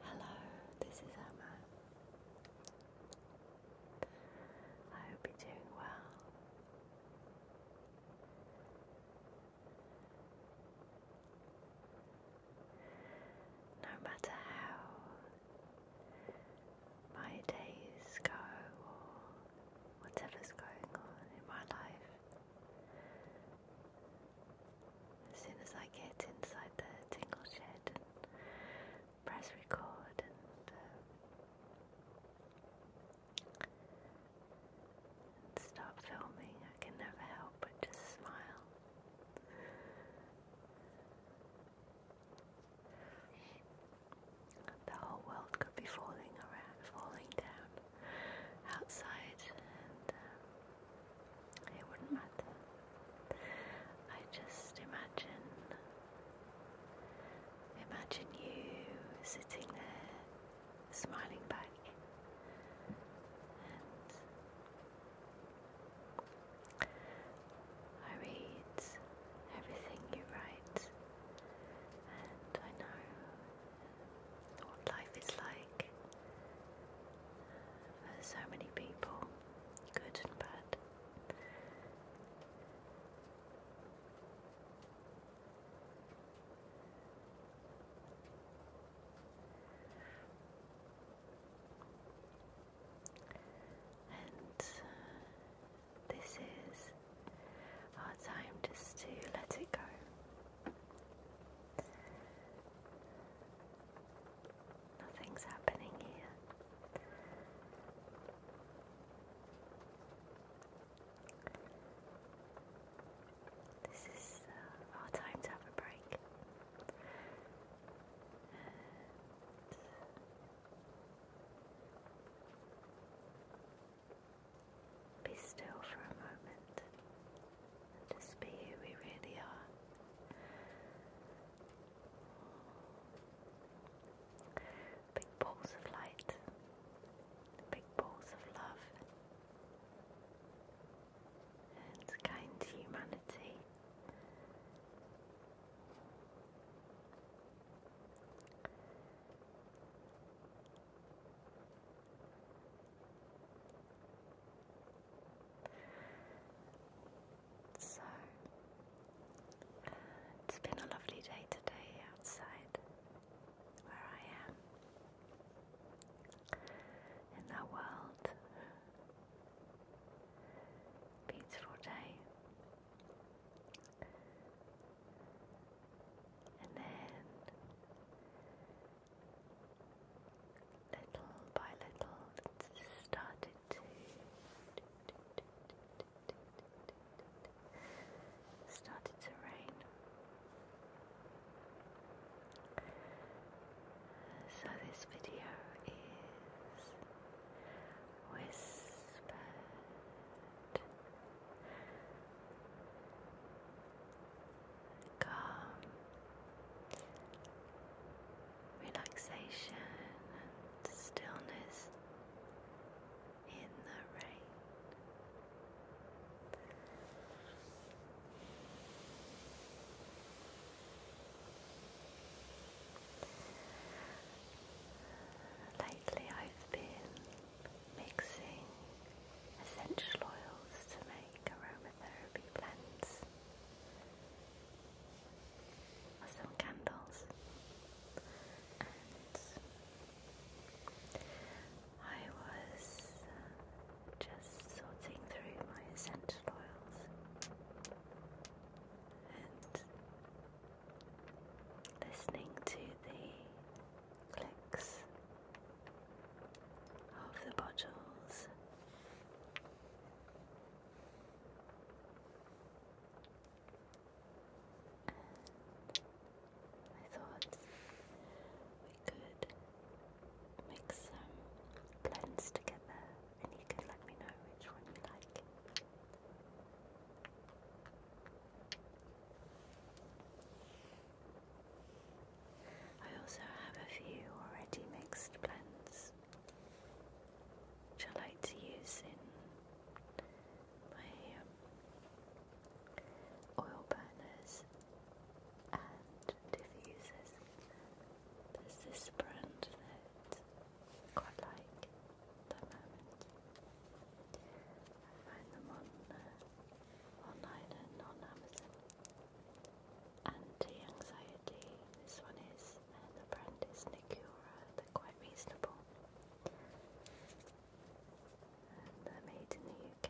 Hello, this is Emma. I hope you're doing well. No matter how my days go or whatever's going on in my life, as soon as I get inside the tingle shed press record and, uh, stop filming, I can never help but just smile. The whole world could be falling around, falling down outside and um, it wouldn't matter. I just imagine, imagine you sitting there smiling back I read everything you write, and I know what life is like for so many people, good and bad. And uh, this is our time just to let it go. Nothing's happening here. This is uh, our time to have a break. Be still for a moment just be who we really are. Big balls of light, big balls of love, and kind humanity. So, it's been a lovely day today outside where I am in the world. Beautiful day. And then Little by little, started to started to rain. So this video is whispered calm relaxation and stillness in the rain. Lately, I've been mixing essential oils to make aromatherapy blends or candles I was uh, just sorting through my essential oils and listening to the clicks of the bottles. I thought we could mix some blends together and you can let me know which one you like. I also have a few already mixed blends which I like to use in my um, oil burners and diffusers. There's this brand that I quite like at the moment. I find them on uh, online and on Amazon. Anti-anxiety. This one is uh, the brand is Nicura. They're quite reasonable. they're made in the UK.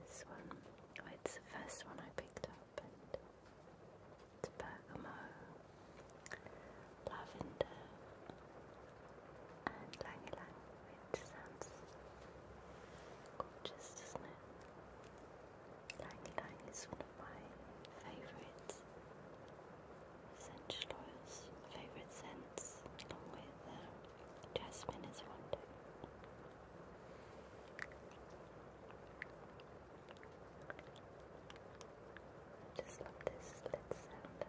This one, oh, it's the first one I picked up, and it's bergamot, lavender, and lang Makes sense. Gorgeous, doesn't it? Lang is one of my favourite essential oils, favourite scents, along with uh, jasmine is one just love this lit sound.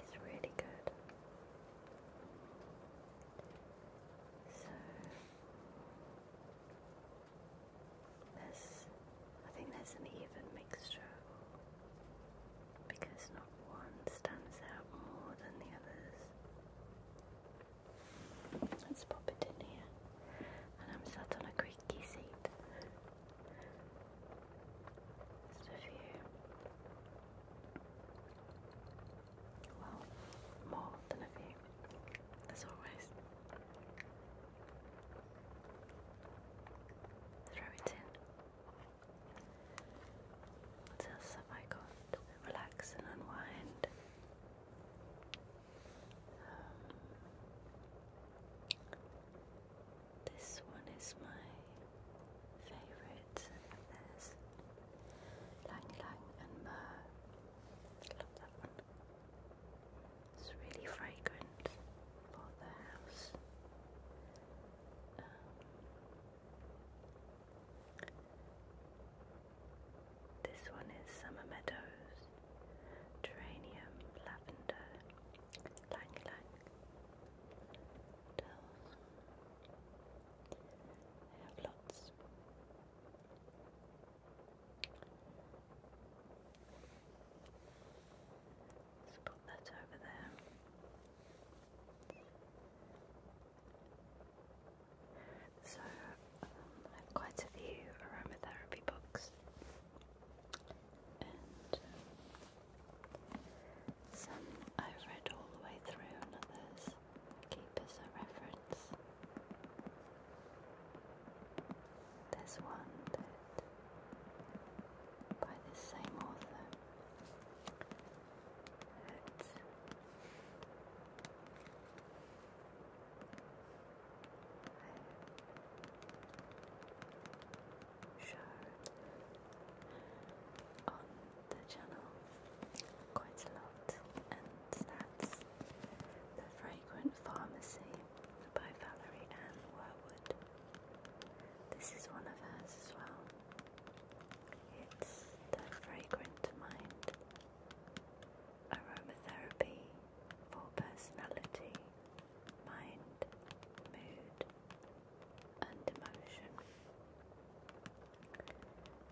It's really good. So there's, I think there's an even mixture because not one stands out more than the others. Let's pop it in here, and I'm sat on a creaky seat. Just a few. Well, more than a few, as always. Throw it in. What else have I got? Relax and unwind. This one is my favourite of theirs. Lang and Myrrh. Love that one. It's really fragrant for the house. Um, this one is Summer Meadows, Geranium, Lavender, Lang towels. I have lots. Let's put that over there. So, um, I have quite a few aromatherapy books, some I've read all the way through, others keep as a reference. There's one that by this same author Show on the channel quite a lot, and that's The Fragrant Pharmacy by Valerie Ann Warwood. This is one of hers as well. It's The Fragrant Mind Aromatherapy for Personality, Mind, Mood, and emotion.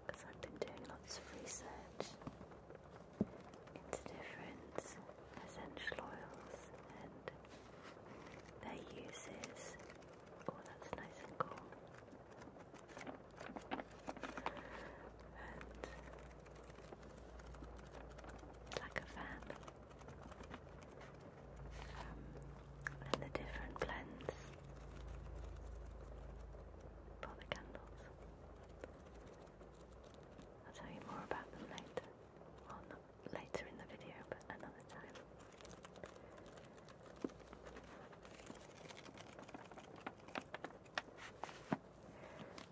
Because I've been doing lots of research into different essential oils and their uses. Oh, that's nice and cool. And like a fan and the different blends for the candles. I'll tell you more about them later. later in the video, but another time.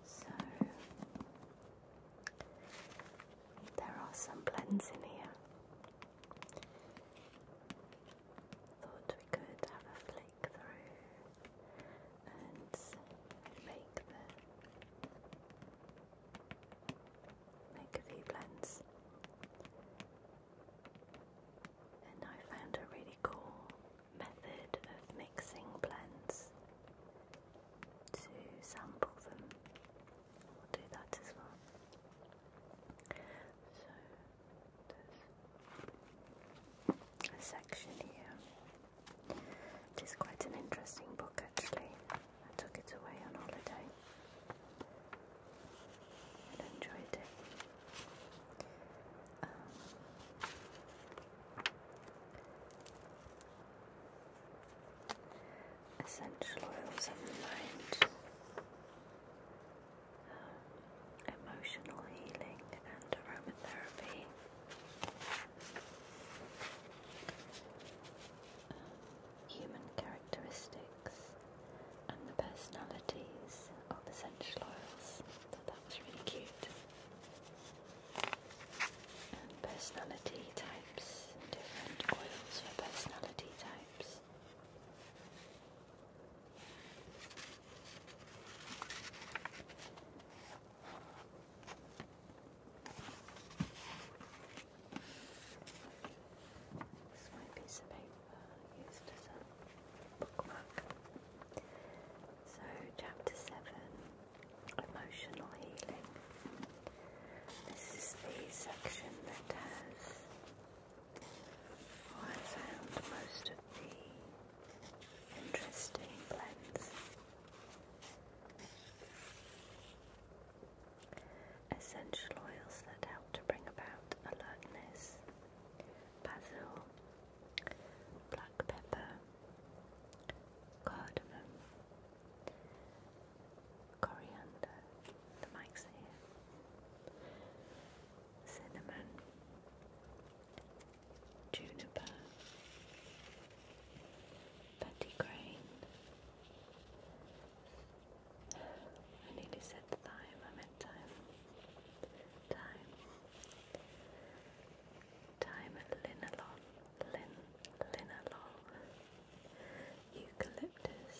So, there are some blends in here. Thought we could have a flick through and make the make a few blends. And I found a really cool method of mixing blends to sample them we'll do that as well. So there's a section here. It is quite an interesting book actually. I took it away on holiday and enjoyed it. Um, essential oils of the mind, emotional healing, and aromatherapy. human characteristics and the personalities of essential oils. So that was really cute. And personality types, different oils for personality types. This might be piece of paper used as a bookmark. So, chapter 7 Emotional Healing. This is the section that has, I found most of the interesting blends. Essential oils that help to bring about alertness, basil, black pepper, cardamom, coriander, the mic's here, cinnamon, juniper, pettigrain. I nearly said thyme, I meant time. Time. Time at Linalol. Lin, eucalyptus,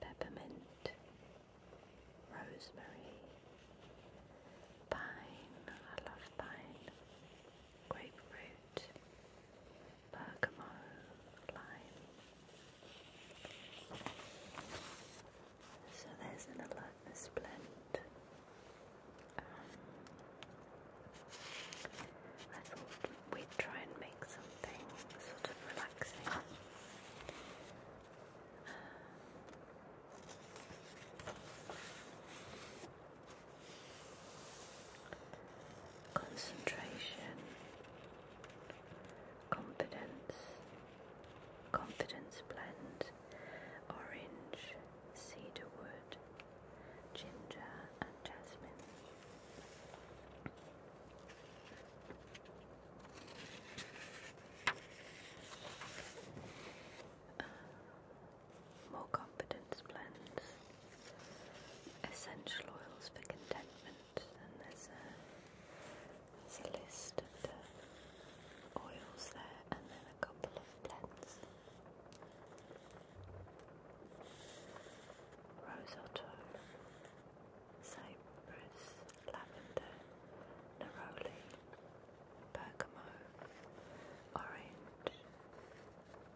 peppermint, rosemary, pine, I love pine, grapefruit, bergamo, lime. So there's an alertness blend. Um, I thought we'd try and make something sort of relaxing. concentration, confidence, confidence blend, orange, cedarwood, ginger, and jasmine. Uh, more confidence blends, essential oils for contentment, and there's a there's a list of the oils there, and then a couple of blends. Rose Otto, Cypress, Lavender, Neroli, Bergamo, Orange,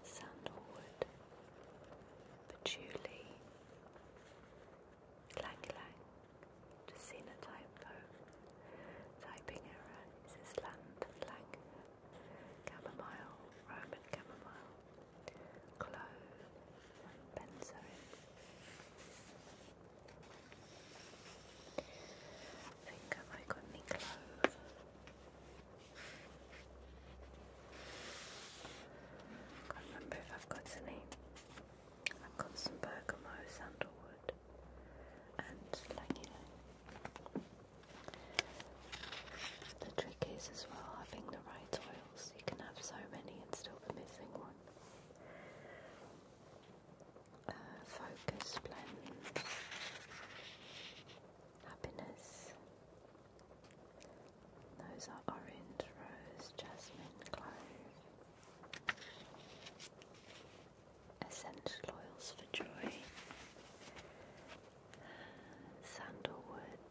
Sandalwood, Patchouli, Lang Lang, Jacina Typo, Typing Error, Sisland, Lang, Chamomile, Roman Chamomile, clove, benzoin. I think I might go with me can't remember if I've got any. I've got some bergamo, sandalwood, and legula. The trick is as well having the right oils. You can have so many and still be missing one. Uh, focus blends. Happiness. Those are orange, rose, jasmine, clove. Essential oils for joy sandalwood,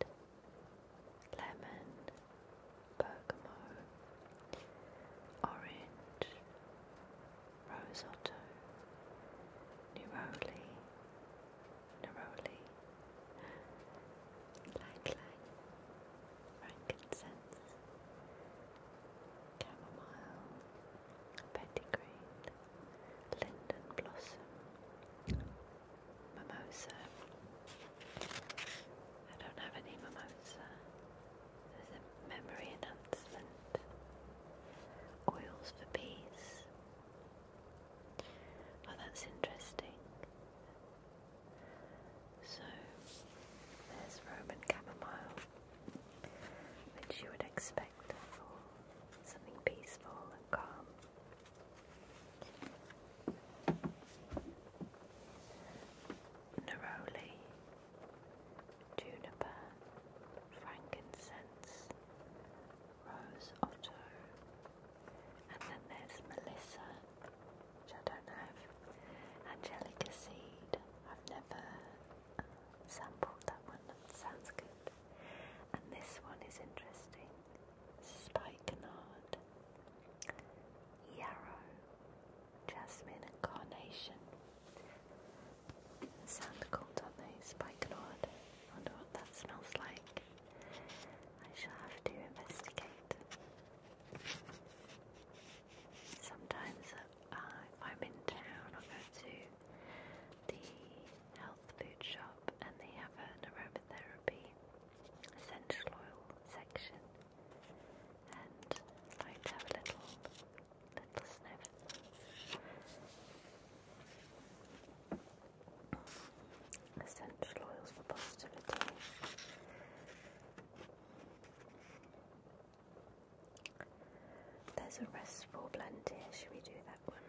lemon, bergamo, orange, rose otto, neroli, neroli, lang lang, frankincense, chamomile, pettigreen, linden blossom, mimosa. I don't have any mimosa. There's a memory enhancement. Oils for peace. Oh, that's interesting. So, there's Roman chamomile, which you would expect for something peaceful and calm neroli, juniper, frankincense, rose otto, and then there's melissa, which I don't have, angelica seed. I've never uh, sampled that one. That sounds good. And this one is interesting spikenard, yarrow, jasmine and carnation. Sound cool, don't they? I wonder what that smells like. I shall have to investigate. Sometimes uh, if I'm in town I'll go to the health food shop and they have aromatherapy essential oil section and I'm have a little, little sniff. Essential oils for positivity. There's a restful blend here, should we do that one?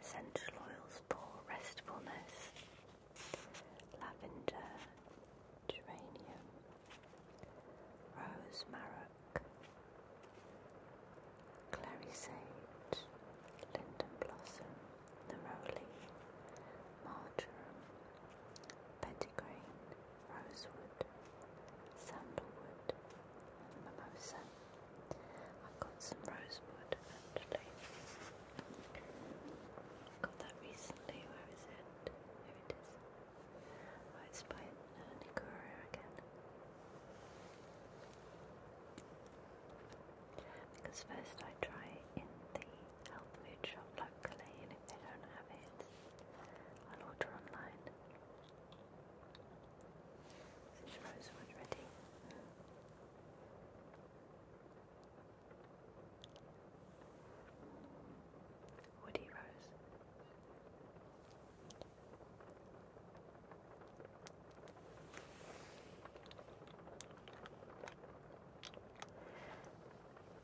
Essential oils for restfulness, lavender, geranium, rose marrock, clary sage, linden blossom, neroli, marjoram, pettigrain, rosewood, sandalwood, mimosa. I've got some rosewood actually. Got that recently. Where is it? Here it is. Oh, it's by uh, again. Because first I try in the health food shop locally, and if they don't have it, i order online. Which rose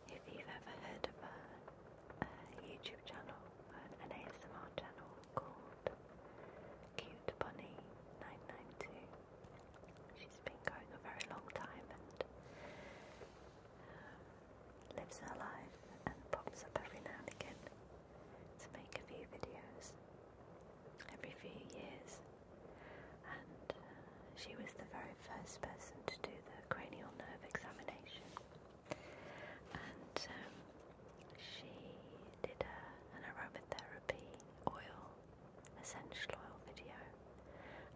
If you've ever heard of a YouTube channel, an ASMR channel, called Cute Bunny 992. She's been going a very long time and um, lives her life and pops up every now and again to make a few videos every few years. And uh, she was the very first person to do the cranial nerve examination. And um, she did a, an aromatherapy oil, essential oil video.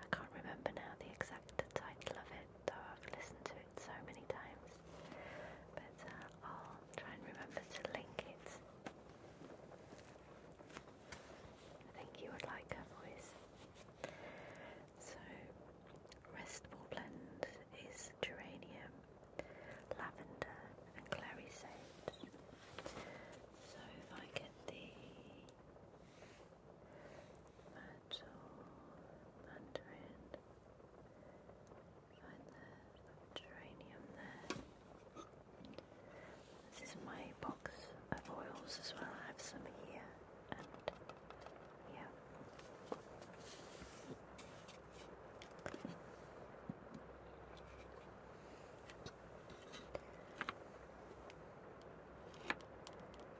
I can't remember now the exact title of it, though I've listened to it so many times. But uh, I'll try and remember to link it. I think you would like her voice. So, Restful Blend is geranium, lavender, and clary sage. So if I get the myrtle, mandarin, find the geranium there. This is my box of oils as well. I have some here and yeah.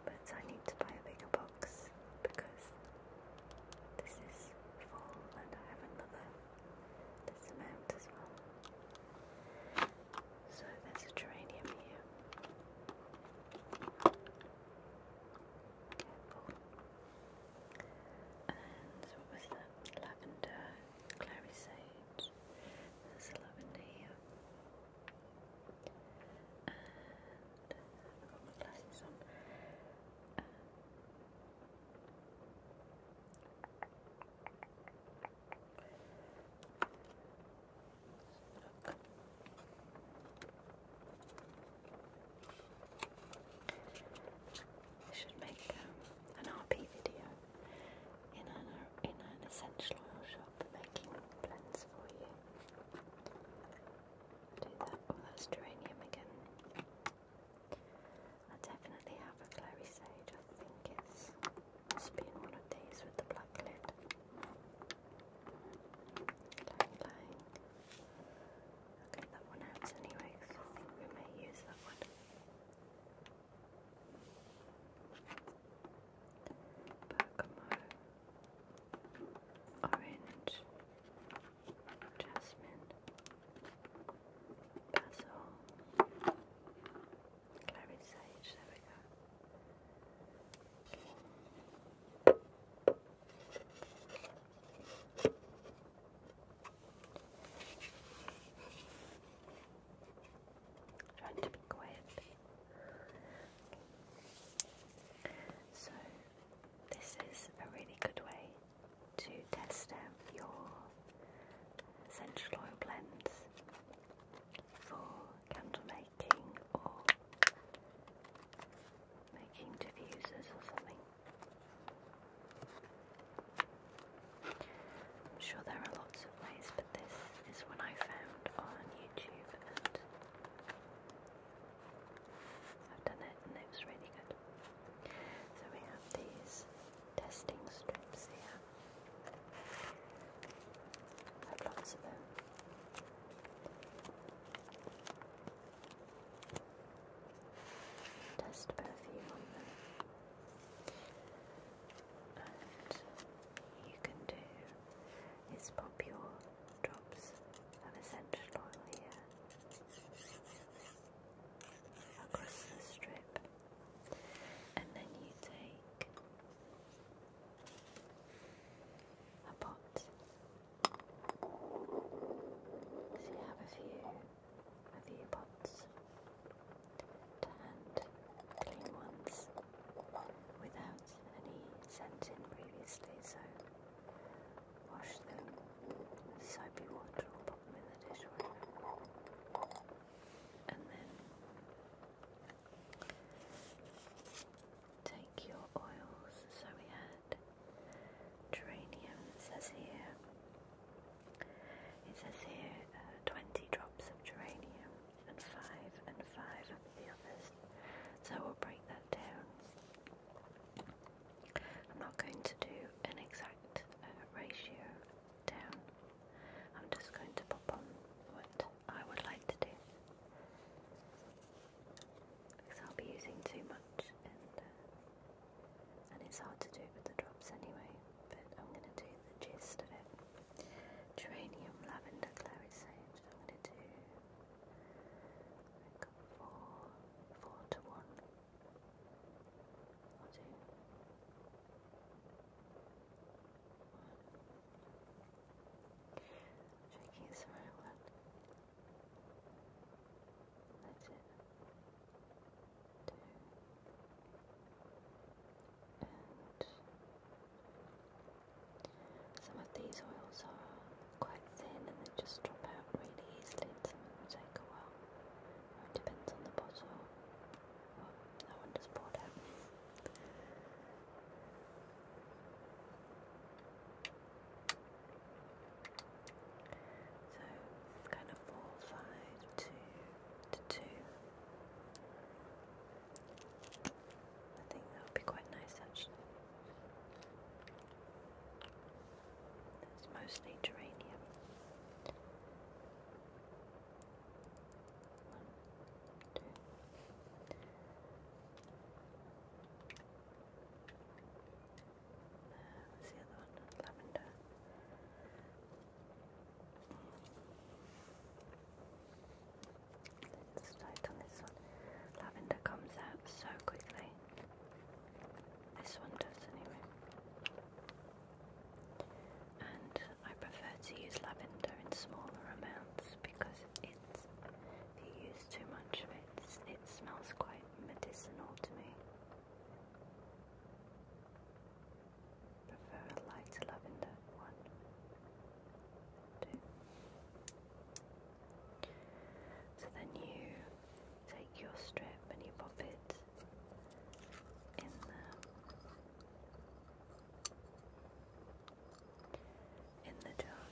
But I need to buy a bigger box because this is full and I have another this amount as well. So there's a geranium here. And what was that? Lavender, clary sage. There's lavender here. Uh, I've got my glasses on. Um, I should make um, an RP video in an, uh, in an essential oil shop making blends for you. Do that. Oh, that's geranium again. I definitely have a clary sage. I think it's been one of these with the black lid. I'll that one out anyway I think we may use that one. Bergamo, orange, jasmine, basil, clary sage, there we go. Trying to be quiet. So, this is a really good way to test out your essential oil blends for candle making or making diffusers or something. I'm sure there are lots of ways, but this is one I found on YouTube and I've done it and it was really good. So we have these testing strips here. I have lots of them. Test perfume on them. And you can do is pop your drops of essential oil here across the strip, and then you take a pot. So you have a few with earpods to and clean ones without any scent in previously, so wash them with soapy water or put them in the dishwasher. And then take your oils, so we had geranium. It says here, it says here uh, 20 drops of geranium and 5 and 5 of the others. So we'll break that down. I'm not going to do an exact uh, ratio down. I'm just going to pop on what I would like to do. Because I'll be using too much and uh, and it's hard to do with the drops anyway, but I'm going to do the gist of it. Geranium, lavender, claret sage. I'm going to do I've got four, four to one. I'll do one. Checking it's the right one. That's it and some of these oils are quite thin and they just drop out really easily some of them take a while. It depends on the bottle. Well, one just poured out. So kind of four, five, two I think that would be quite nice actually. It's mostly geranium. One, two what's the other one? Lavender. Let's on this one. Lavender comes out so quickly. This one does anyway. And I prefer to use lavender in smaller amounts because if you use too much of it, it smells quite medicinal to me. Prefer a light lavender. One, So then you take your strip and you pop it in the in the jar.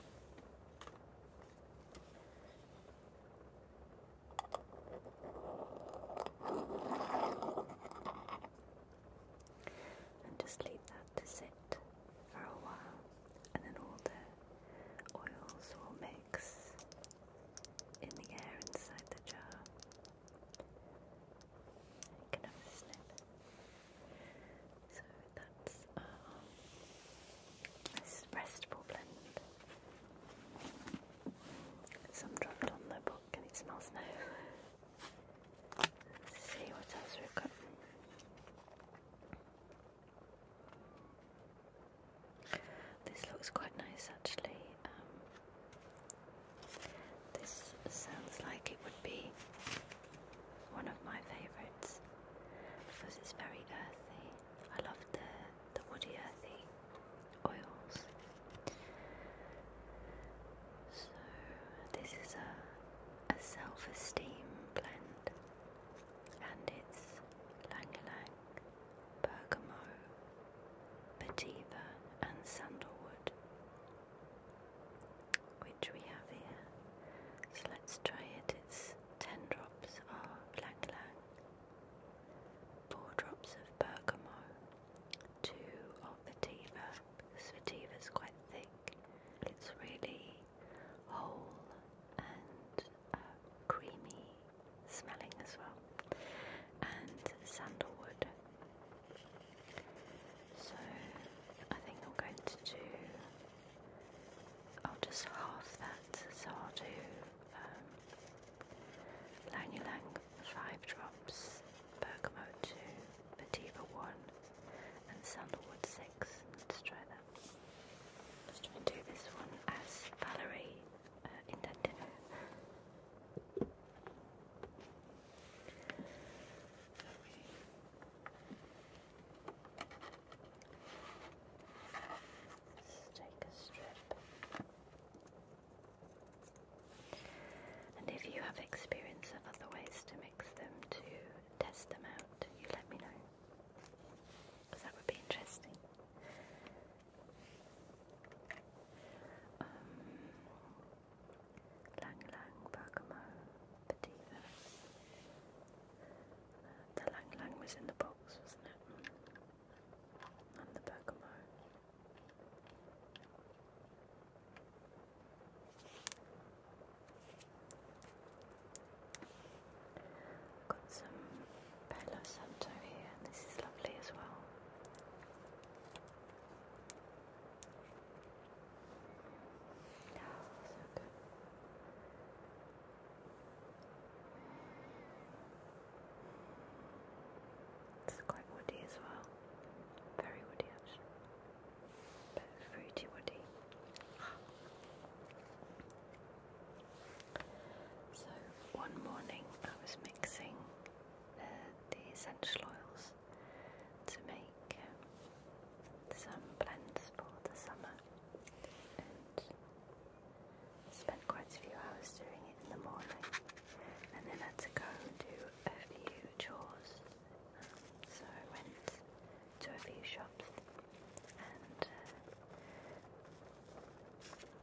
And just leave that to sit for a while, and then all the oils will mix in the air inside the jar. You can have a snip. So that's our restful blend. Some dropped on the book and it smells now. see what else we've got. This looks quite nice actually. Um, this sounds like it would be one of my favourites because it's very earthy. I love the the woody earthy oils. So this is a a self-esteem blend, and it's Lang Lang, Vetiver, and Sandalwood, which we have here. So let's try it. It's ten drops of Lang four drops of bergamo, two of vetiver, because vetiver is quite thick. It's really whole and uh, creamy smelling as well, and sandalwood. So I think I'm going to do. I'll just half that, so I'll do um, Lanulang 5 drops, Bergamo 2, Vetiver 1 and Sandalwood 6. Let's try that. Let's try and do this one as Valerie uh, intended. Let's take a strip. And if you have experience of other ways to mix them to test them out, you let me know. Because that would be interesting. Um, i the Pokemon. Got some Palo Santo here, and this is lovely as well. Oh, so good. It's quite woody as well. Very woody actually. But fruity woody. So one morning I was mixing uh, the essential oils to make um, some blends for the summer Spent quite a few hours doing it in the morning and then had to go and do a few chores. so I went to a few shops and uh,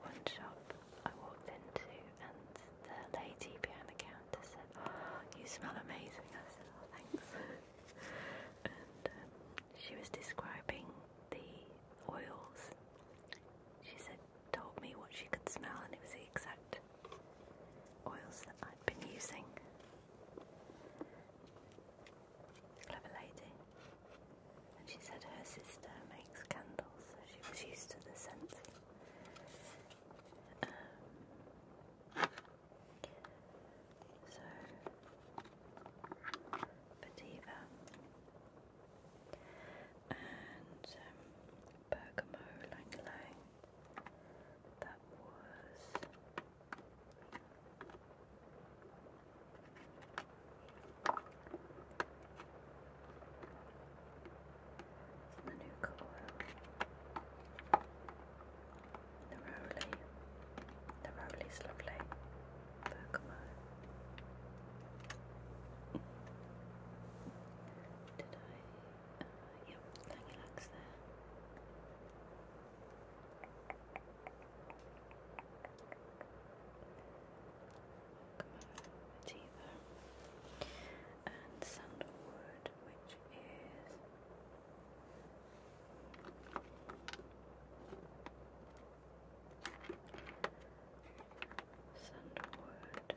one shop I walked into and the lady behind the counter said, oh, you smell amazing. I said, oh, thanks. and um, she was describing the oils. She said told me what she could smell, and it was the exact oils that I'd been using. Clever lady. And she said her sister makes candles, so she was used to the scent. Um, so, Bativa and um, That was the new colour. The Rowley. The Rowley's lovely back line. Did I? Uh, yep, Canyonlax there. Welcome Achiever. And Sandalwood, which is sandalwood,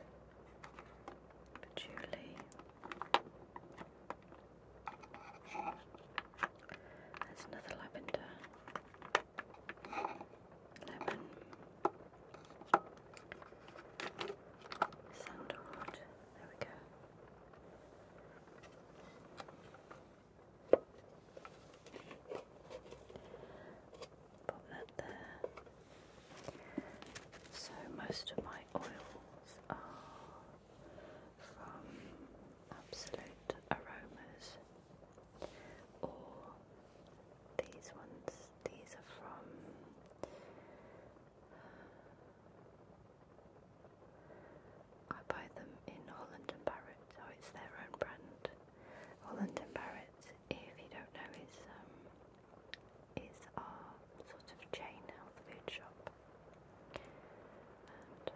patchouli. There's another lavender, lemon, sandalwood. There we go. Pop that there. So most of my oils are from Absolute Aromas or these ones, these are from I buy them in Holland and Barrett, so it's their own brand. Holland and Barrett if you don't know, is um, is our sort of chain health food shop, and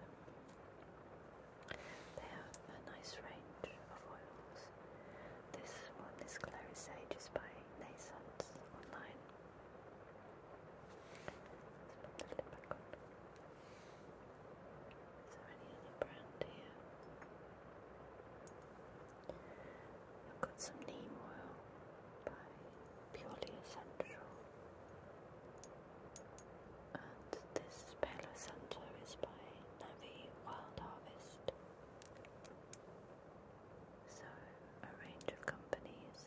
um, they have a nice range of oils. This one, this Clary Sage, is by Naissance Online. Is there any other here? I've got some neem oil by Purely Essential. And this Palo Santo is by Navi Wild Harvest. So, a range of companies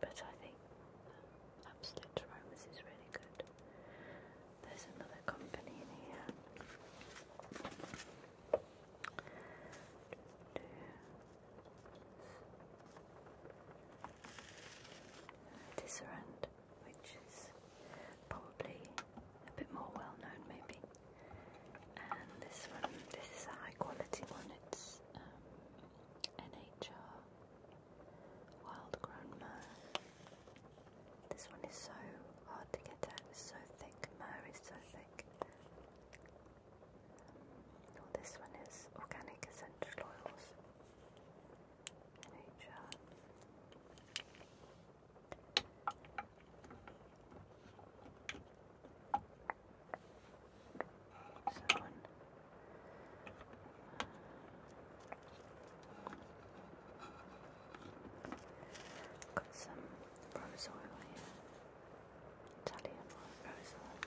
But I think um, Absolute Aromas is really good. There's another company in here. Tisserand, which is probably a bit more well known, maybe. And this one, this is a high quality one. It's um, NHR Wild grown This one is so hard to get at, it's so thick, myrrh is so thick. Um, this one is organic essential oils. Nature. So one Got some rose oil here. Italian rose oil.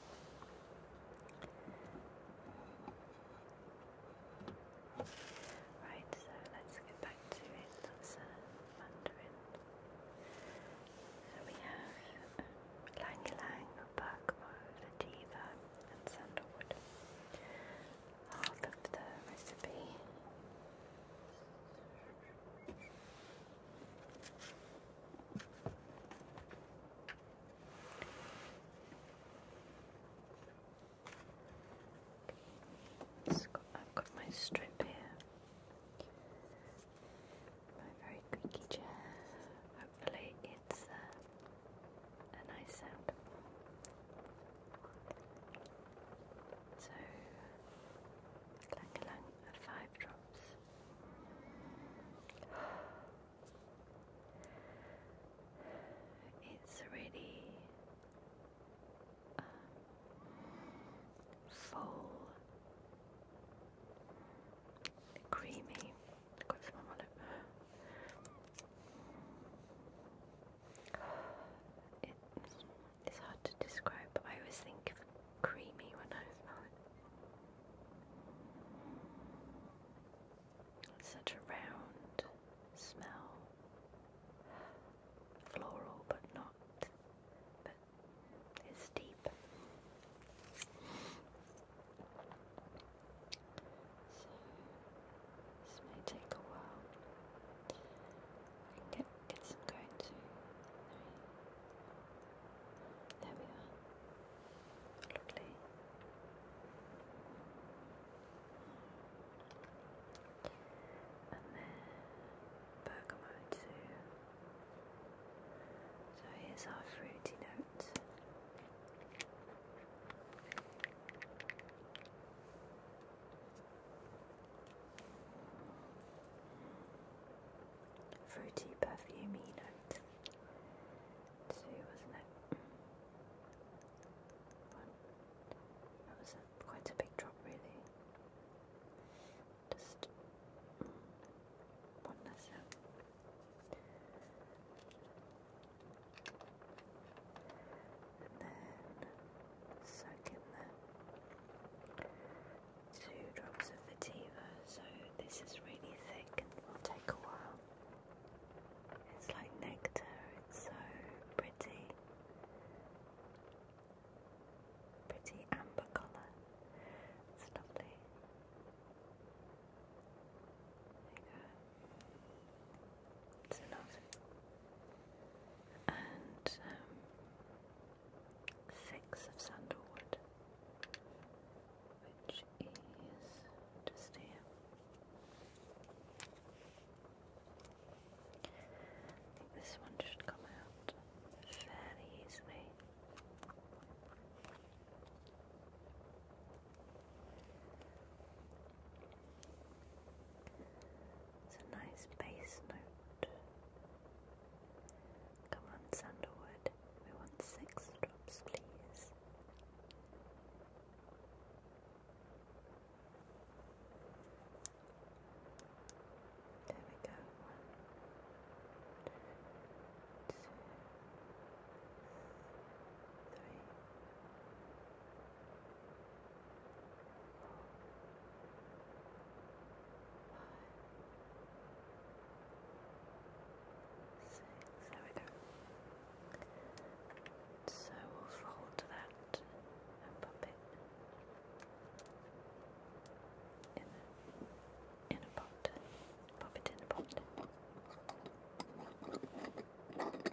Right, so let's get back to it. Mandarin. So we have Lang Lang, Birkmoor, Ladiva, and Sandalwood. I've got my strip here, my very creaky chair. Hopefully, it's uh, a nice sound. So, clank along five drops. It's really um, full, creamy. Got some on my it's, hard to describe, but I always think of creamy when I smell it. such a round smell. Floral, but not. it's deep. So this may take a while. get get some going too. There we are. Lovely. And then Bergamo too. So here's our fruity note. Fruity perfumey note two, wasn't it? That was quite a big drop, really. Just one less out and then suck in two drops of Vetiver. So this is really thick and will take a while. It's like nectar, it's so pretty. Pretty amber colour. It's lovely. There you it's lovely. And um, six of sandalwood, which is just here. I think this one should come out fairly easily. It's a nice bass note. Come on, Sandalwood. We want six drops, please. There we go. One, two, three, six, there So we'll fold that and pop it in a, in a pot. Pop it in a pot.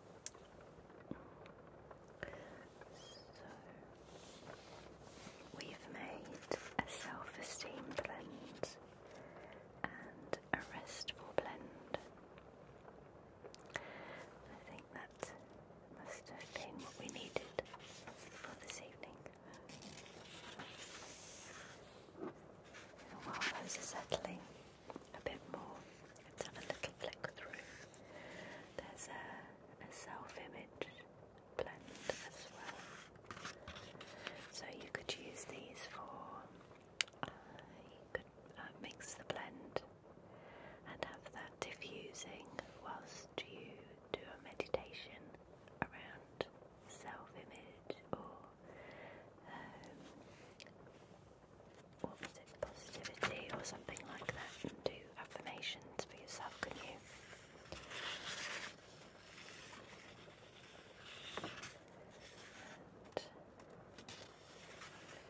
So, we've made a self esteem blend and a restful blend. I think that must have been what we needed for this evening. while those are settling, a bit more. Let's have a little flick through. There's a, self-image blend as well. So you could use these for, uh, you could uh, mix the blend and have that diffusing whilst you do a meditation around self-image or um, what positivity or something like that, do affirmations for yourself, could you?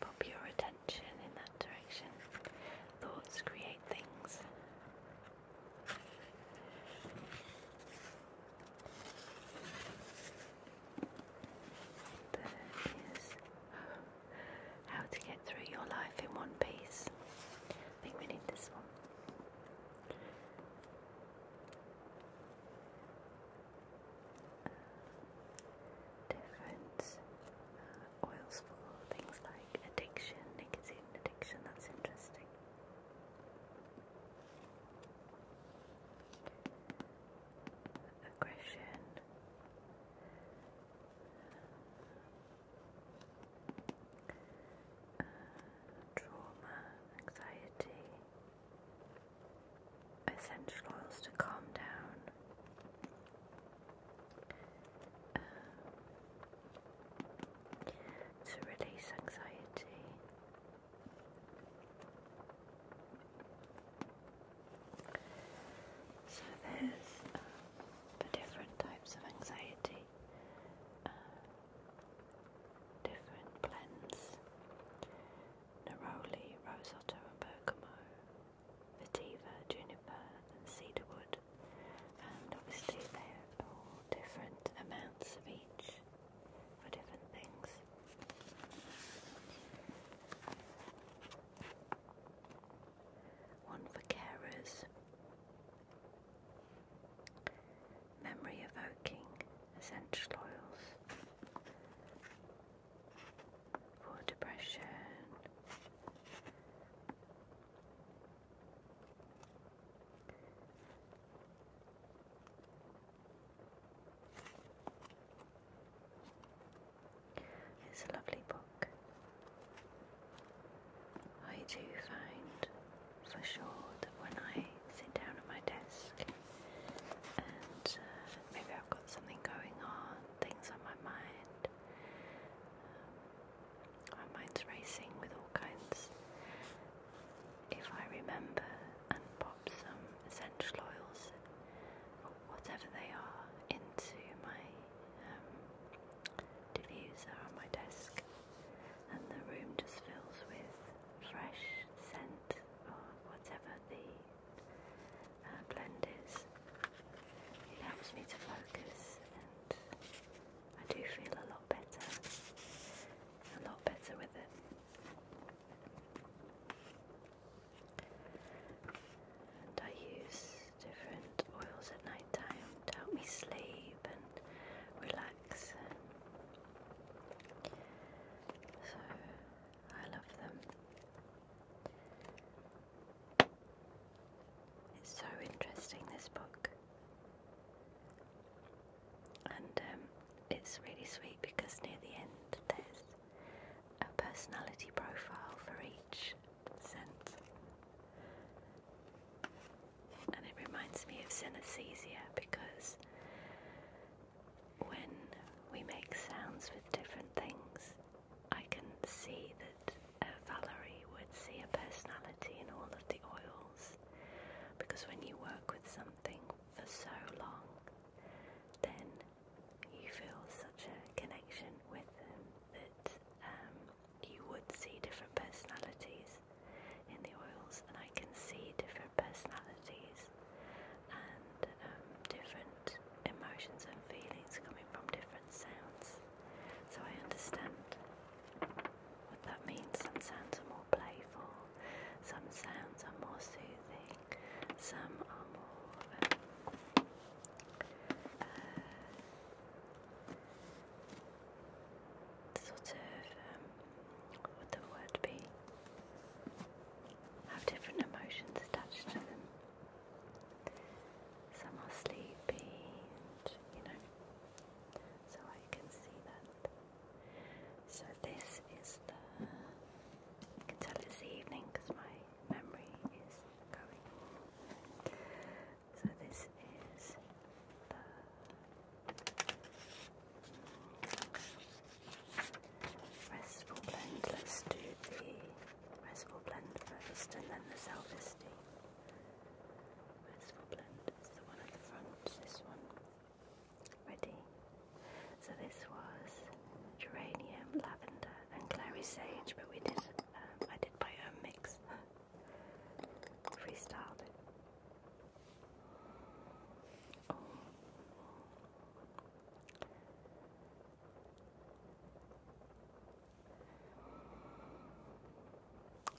pop your attention in that direction. Thoughts create things how to get through your life in one piece. I think we need this one. Different oils for things like addiction, nicotine addiction, that's interesting aggression. Uh, trauma, anxiety, essential oils to calm down, uh, to release anxiety, so there's um, different types of anxiety, uh, different blends. Neroli, rose otto and bergamo, vetiver, juniper and cedarwood. And obviously they have all different amounts of each for different things. One for carers. Memory evoking essential oils for depression. It's a lovely book. I do find for sure that when I sit down at my desk and uh, maybe I've got something going on, things on my mind, um, my mind's racing with all kinds. If I remember some essential oils, or whatever they are, into my um, diffuser on my desk, and the room just fills with fresh scent or whatever the uh, blend is. It helps me to focus, and I do feel a lot better, a lot better with it. And I use different oils at night time to help me sleep and relax. so I love them. It's so interesting, this book. And um, it's really sweet because near the end there's a personality profile for each scent. And it reminds me of synesthesia because when we make sounds with different things, I can see that Valerie would see a personality in all of the oils because when you work with something for so long, then you feel such a connection with them that um, you would see different personalities in the oils, and I can see different personalities and um, different emotions and feelings coming from different sounds. So I understand what that means. Some sounds are more playful, some sounds are more soothing some uh, sort of, um, what would the word be? Have different emotions attached to them. Some are sleepy, and you know, so I can see that. So this is the. I can tell it's evening because my memory is going. So this is the. Restful blend. Let's do the restful blend first, and then the self-esteem. Restful blend is the one at the front. This one. Ready? So this was geranium, lavender, and clary sage, but we did um, I did my own mix, freestyled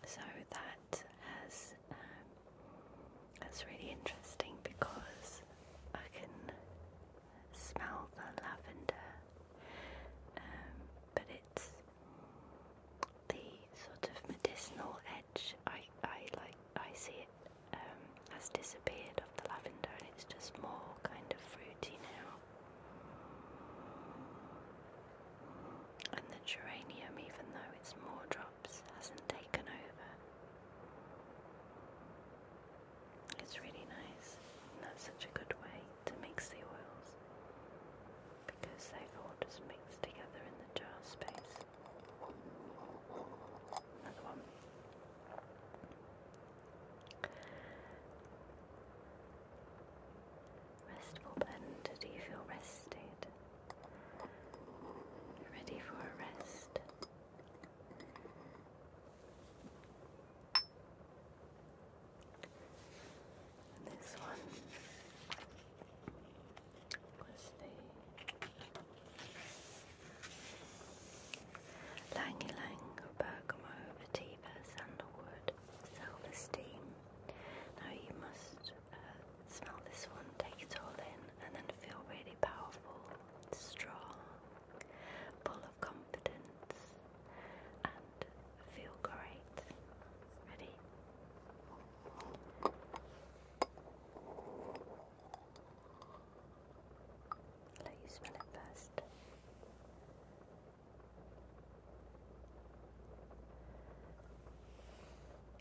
So that has um, that's really interesting because I can smell the lavender, um, but it's the sort of medicinal edge. I, I like I see it um, has disappeared of the lavender, and it's just more kind of fruity now. And the geranium, even though it's more drops, hasn't taken over. It's really nice. And that's such a good way to mix the oils because they've all just mixed together in the jar space. Another one. Restful blend. Do you feel rested? Ready for a rest? This one was Langy Lang Bergamo Vetiver Sandalwood Self Esteem. Now you must uh, smell this one, take it all in, and then feel really powerful, strong, full of confidence, and feel great. Ready? Let you smell it first.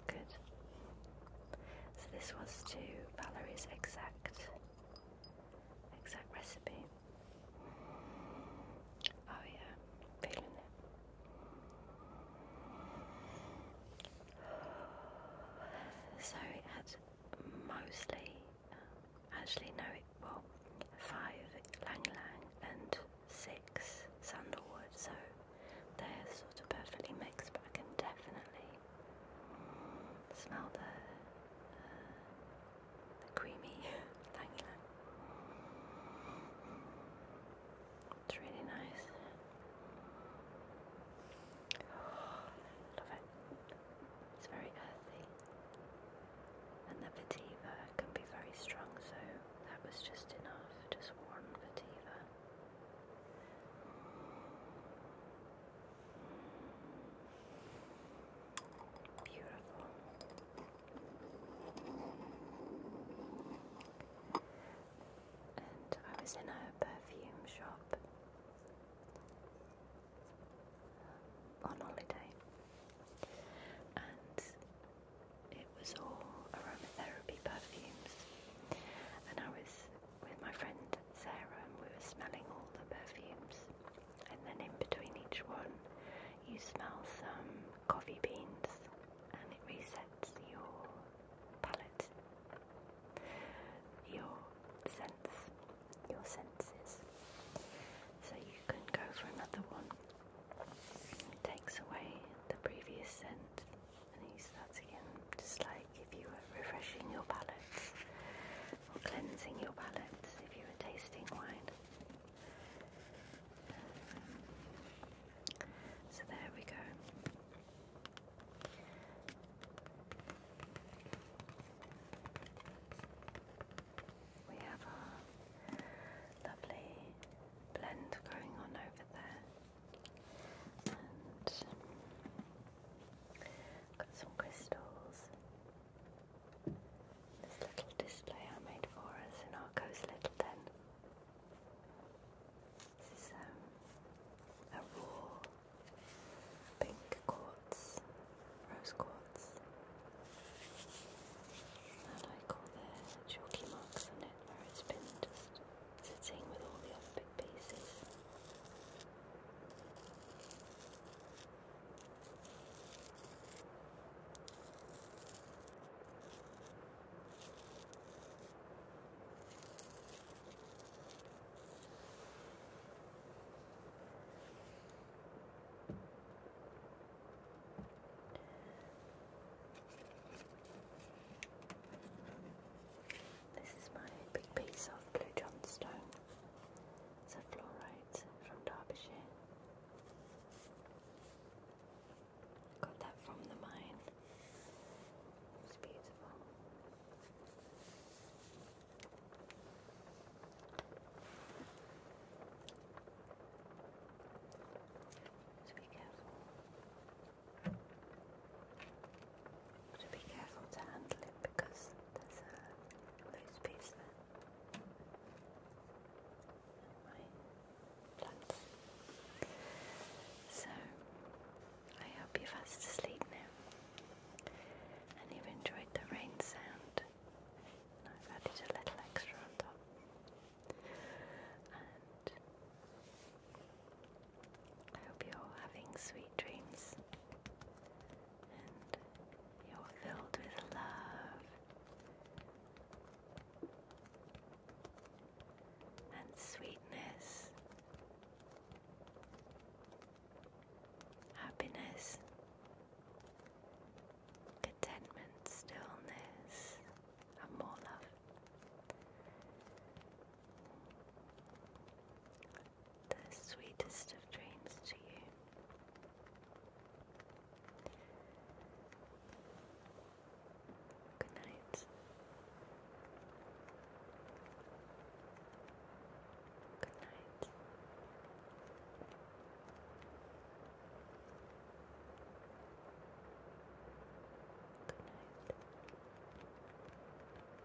Good. So this was to Valerie's exact exact recipe. Oh yeah, feeling it. So it had mostly, um, actually no, it well, five Lang Lang and six Sandalwood. So they're sort of perfectly mixed, but I can definitely Smell the, creamy tangy. It's really nice. love it. It's very earthy. And the vetiver can be very strong, so that was just enough, just one vetiver. Beautiful. And I was in a perfume shop on holiday, and it was all aromatherapy perfumes, and I was with my friend Sarah, and we were smelling all the perfumes. And then in between each one, you smell some coffee beans, and it resets your palate, your sense, your senses. So you can go for another one. It takes away the previous scent, and you start again, just like if you were refreshing your palate for cleansing your palate if you were tasting wine. So there we go. We have our lovely blend going on over there. Got some crystals. This little display I made for us in Arco's Little Den. This is um, a raw pink quartz, rose quartz. I like all the chalky marks on it where it's been just sitting with all the other pieces basis. This is my big piece of blue johnstone. Sir from Derbyshire. Got that from the mine. It's beautiful. So be careful to be careful to handle it because there's a loose piece there. My plant. So, I hope you're fast asleep now and you've enjoyed the rain sound. I've added a little extra on top. I hope you're all having sweet dreams and you're filled with love and sweetness, happiness, contentment, stillness, and more love the sweetest of dreams to you. Good night. Good night. Good night.